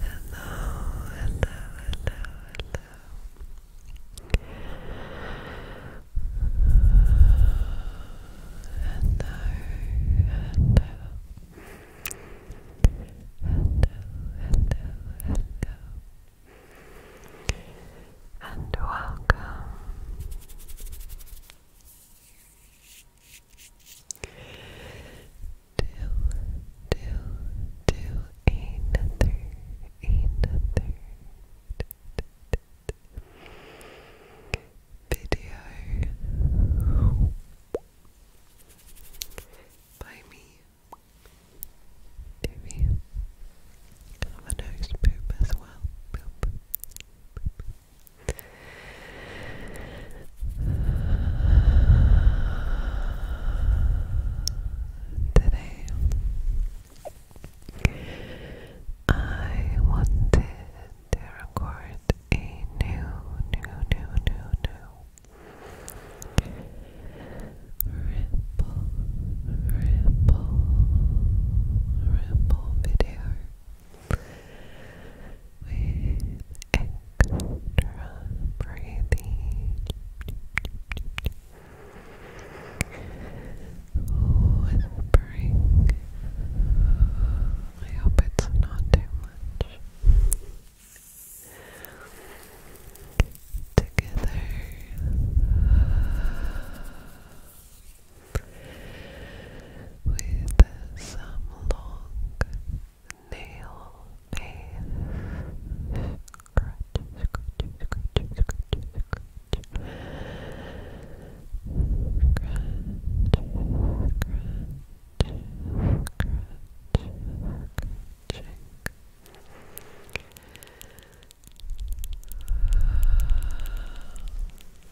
hello, hello, hello. Hello, hello. Hello, hello, hello. And welcome do, do, do another, another video by me maybe have a nose poop as well Today, I wanted to record a new, new, new, new, new ripple, ripple, ripple video with extra breathing. Whispering. I hope it's not too much. Together with some long nail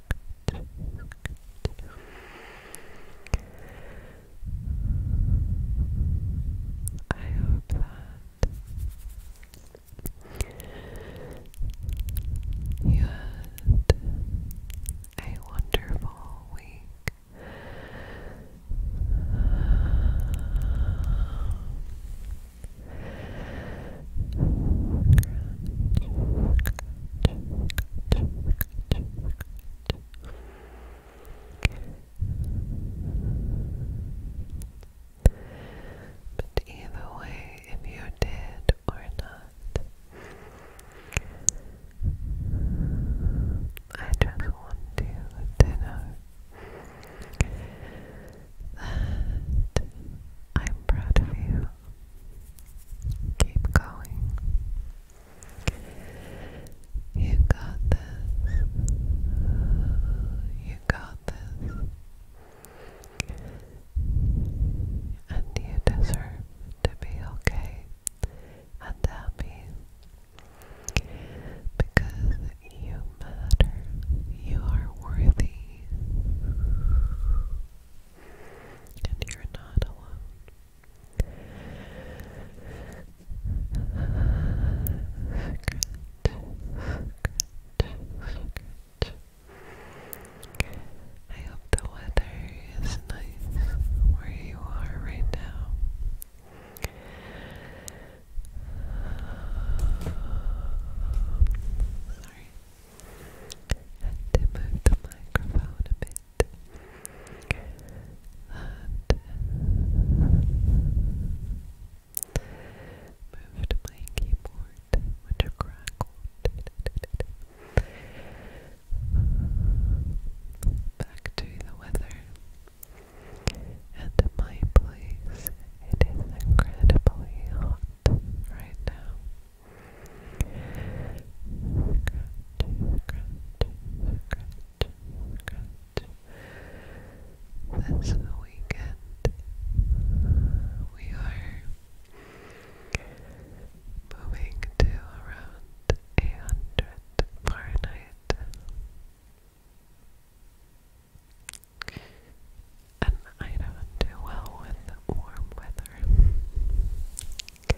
good, I hope that you had a wonderful week. But either way, if you did or not, I just want you to know that I'm proud of you. Keep going. You got this. You got this. And you deserve to be okay and happy because you matter. You are worthy and you're not alone. I hope the weather is nice where you are right now. Sorry and to move the microphone a bit. That moved keyboard, which crackled. Back to the weather. At my place, it is incredibly hot right now. This weekend, we are moving to around 800 Fahrenheit. And I don't do well with warm weather. So,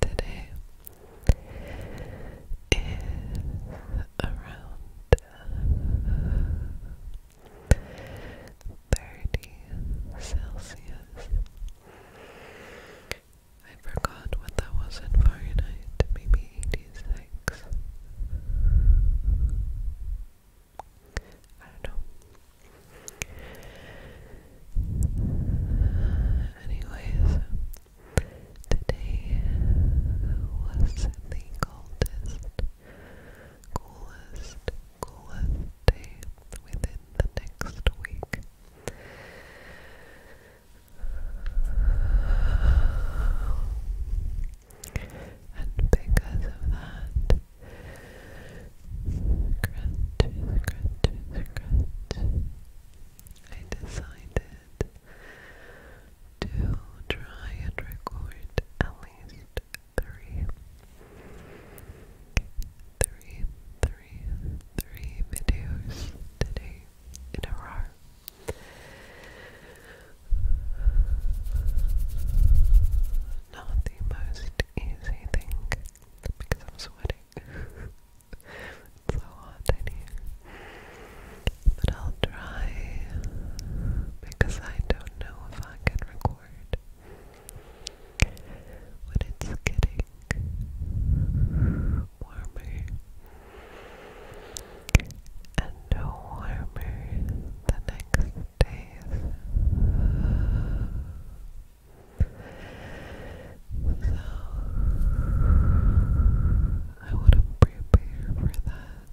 today is around thirty Celsius. I forgot what that was in Fahrenheit, maybe eighty six. I don't know. Anyways, today was the coldest coolest, coolest day within the next week. And because of that, scratch, scratch, scratch, I decided to try and record at least three, three, three, three videos today in a row. Not the most easy thing because I'm sweating. it's so hot in here. But I'll try because I don't know if fucking record when it's getting warmer and warmer the next days. So, I want to prepare for that.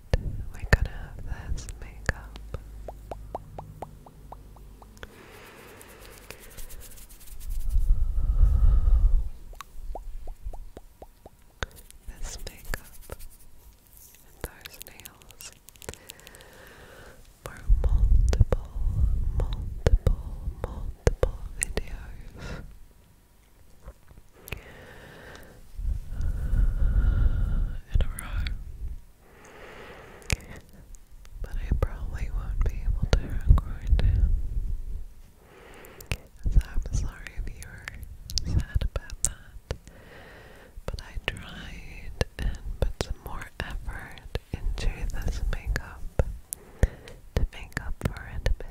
we're gonna have this makeup. This makeup and those nails for multiple, multiple, multiple videos in a row. But I probably won't be able to record it. So I'm sorry if you were sad about that. But I tried and put some more effort into this makeup to make up for it a bit.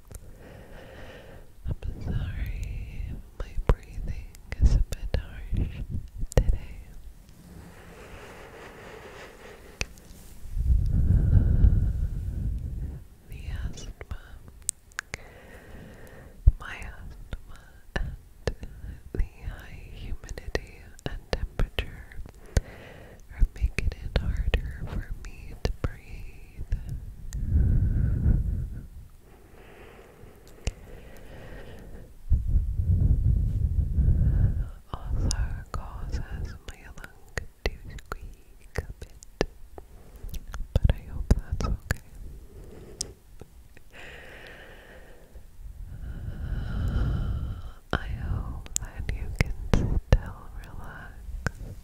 I'm sorry my breathing is a bit harsh today. The asthma, my asthma, and the high humidity and temperature are making it harder for me to breathe. Also causes my lung to squeak a bit, but I hope that's okay. I hope that you can still relax.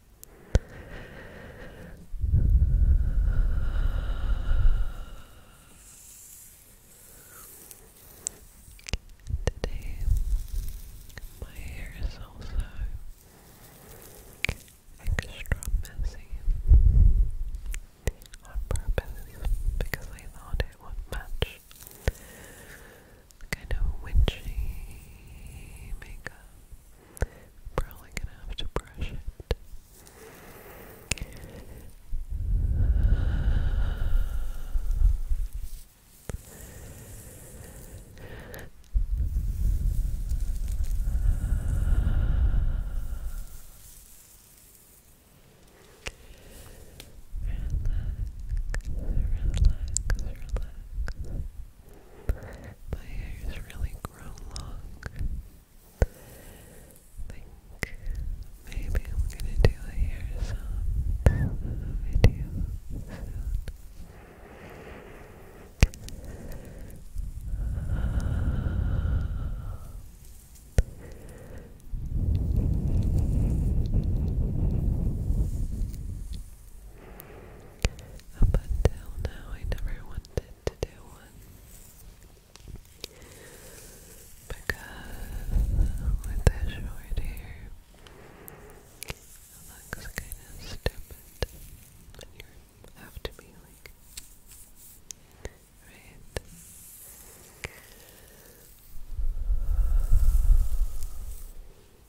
Today, my hair is also extra messy on purpose because I thought it would match kind of witchy makeup. probably gonna have to brush it. Relax, relax, relax. My hair's really grown long. think maybe I'm gonna do a hair sound video soon. Up until now, I never wanted to do one. Because with the short hair, it looks kind of stupid. And you have to be like, right? Dear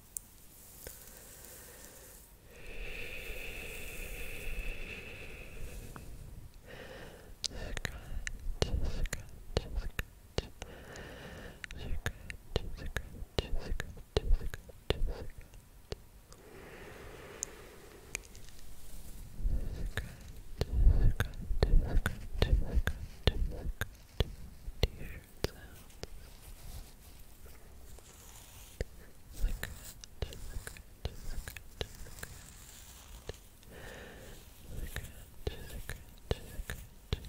weird sounds. Secret, secret, secret, secret. Secret, secret, secret, secret. Good.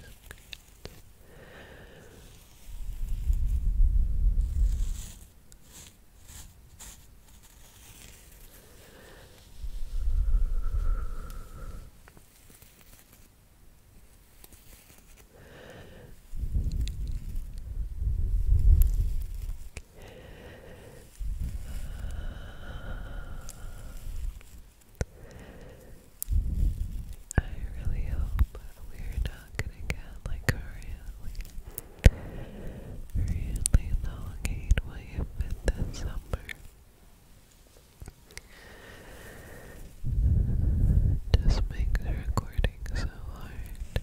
I really hope we're not gonna get like really, really elongate what you've summer. Just make recording so hard.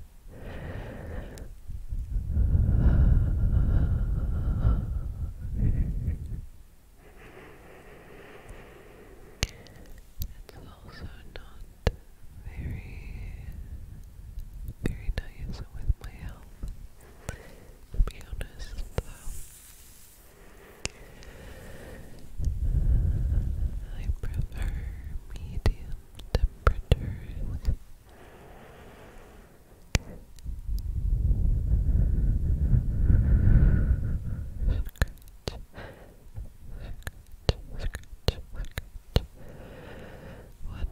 It's also not very, very nice with my health. To be honest, though. I prefer medium temperatures. What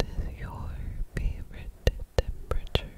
is your favorite temperature?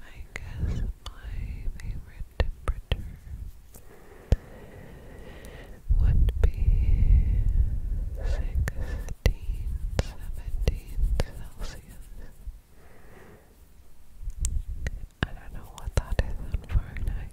I guess my favorite temperature would be 16, Celsius. I don't know what that is Fahrenheit.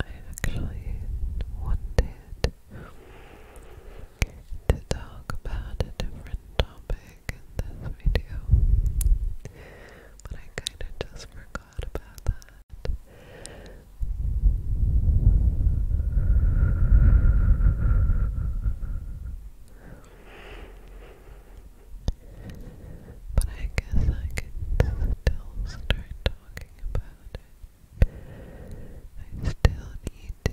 I actually wanted to talk about a different topic in this video, but I kind of just forgot about that. But I guess I can still start talking about it. I still need to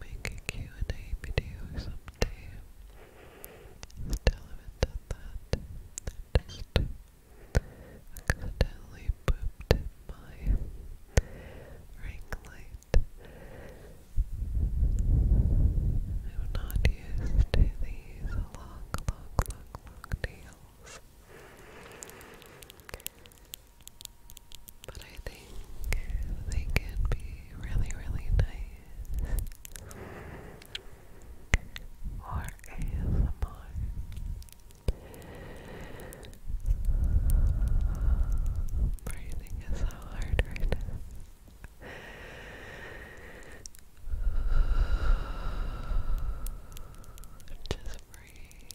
make a and a video someday. Still haven't done that. I accidentally pooped my ring light. I'm not used to these long, long, long, long nails. But I think they can be really, really nice. Or ASMR. Breathing is so hard right Just Breathe.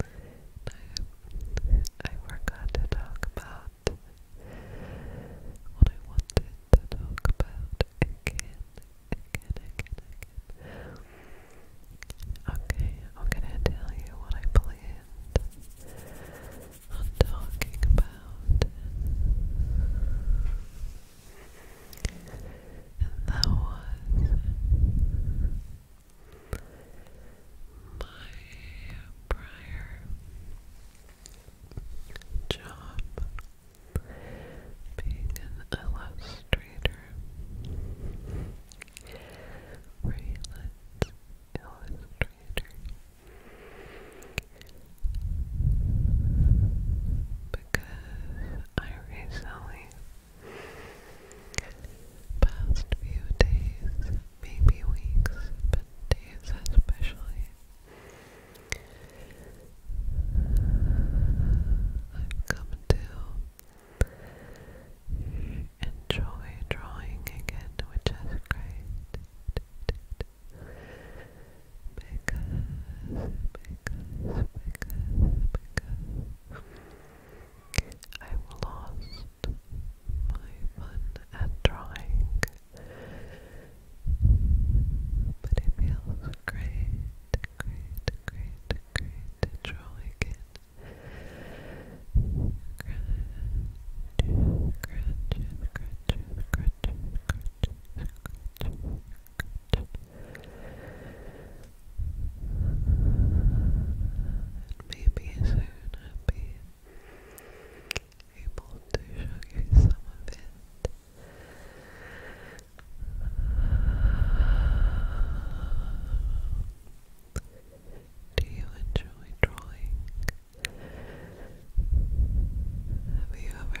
I, I forgot to talk about what I wanted to talk about again, again, again, Okay, I'm gonna tell you what I planned on talking about. That was my prior job being an illustrator. Freelance illustrator. Because I recently Past few days, maybe weeks, but days especially. I've come to enjoy drawing again, which is great. Because, because, because, I've lost my fun at drawing. But it feels great, great, great, great to draw again. Scratch, scratch, scratch, scratch, scratch, scratch, and maybe soon I'll be able to show you some of it. Do you enjoy drawing? Have you ever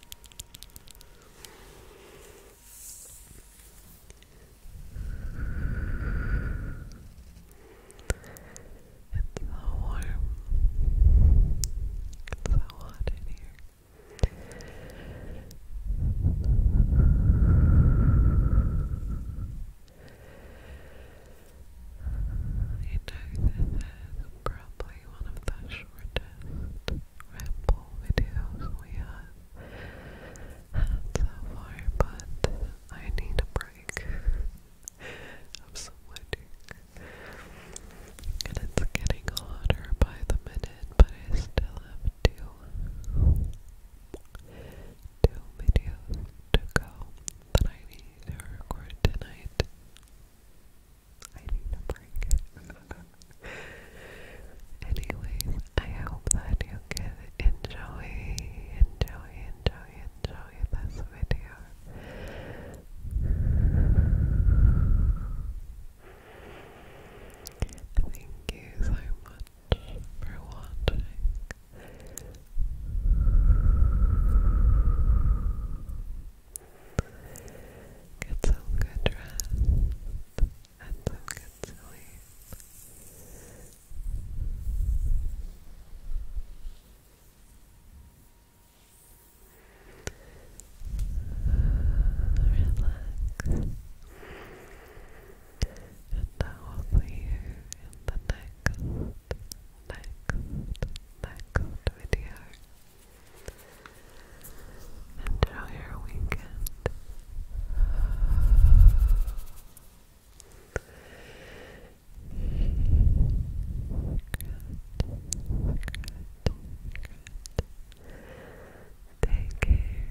It's so warm. It's so hot in here. You know, this is probably one of the shortest ramble videos we have had so far, but I need a break of some magic. And it's getting hotter by the minute, but I still have two, two videos to go that I need to record tonight. I need numbering. Anyways, I hope that you can enjoy, enjoy, enjoy, enjoy this video. Thank you so much for watching. Get some good rest and some good sleep. Relax. And I will see you in the next next, next video. Enjoy your weekend. Take care.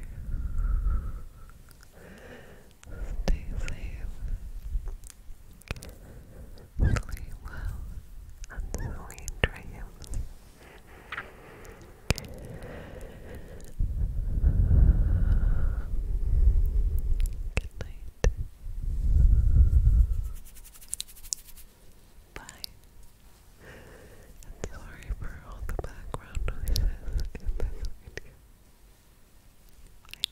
Stay safe. Sleep well and sweet dreams. Good night. Bye. And sorry for all the background noises in this video.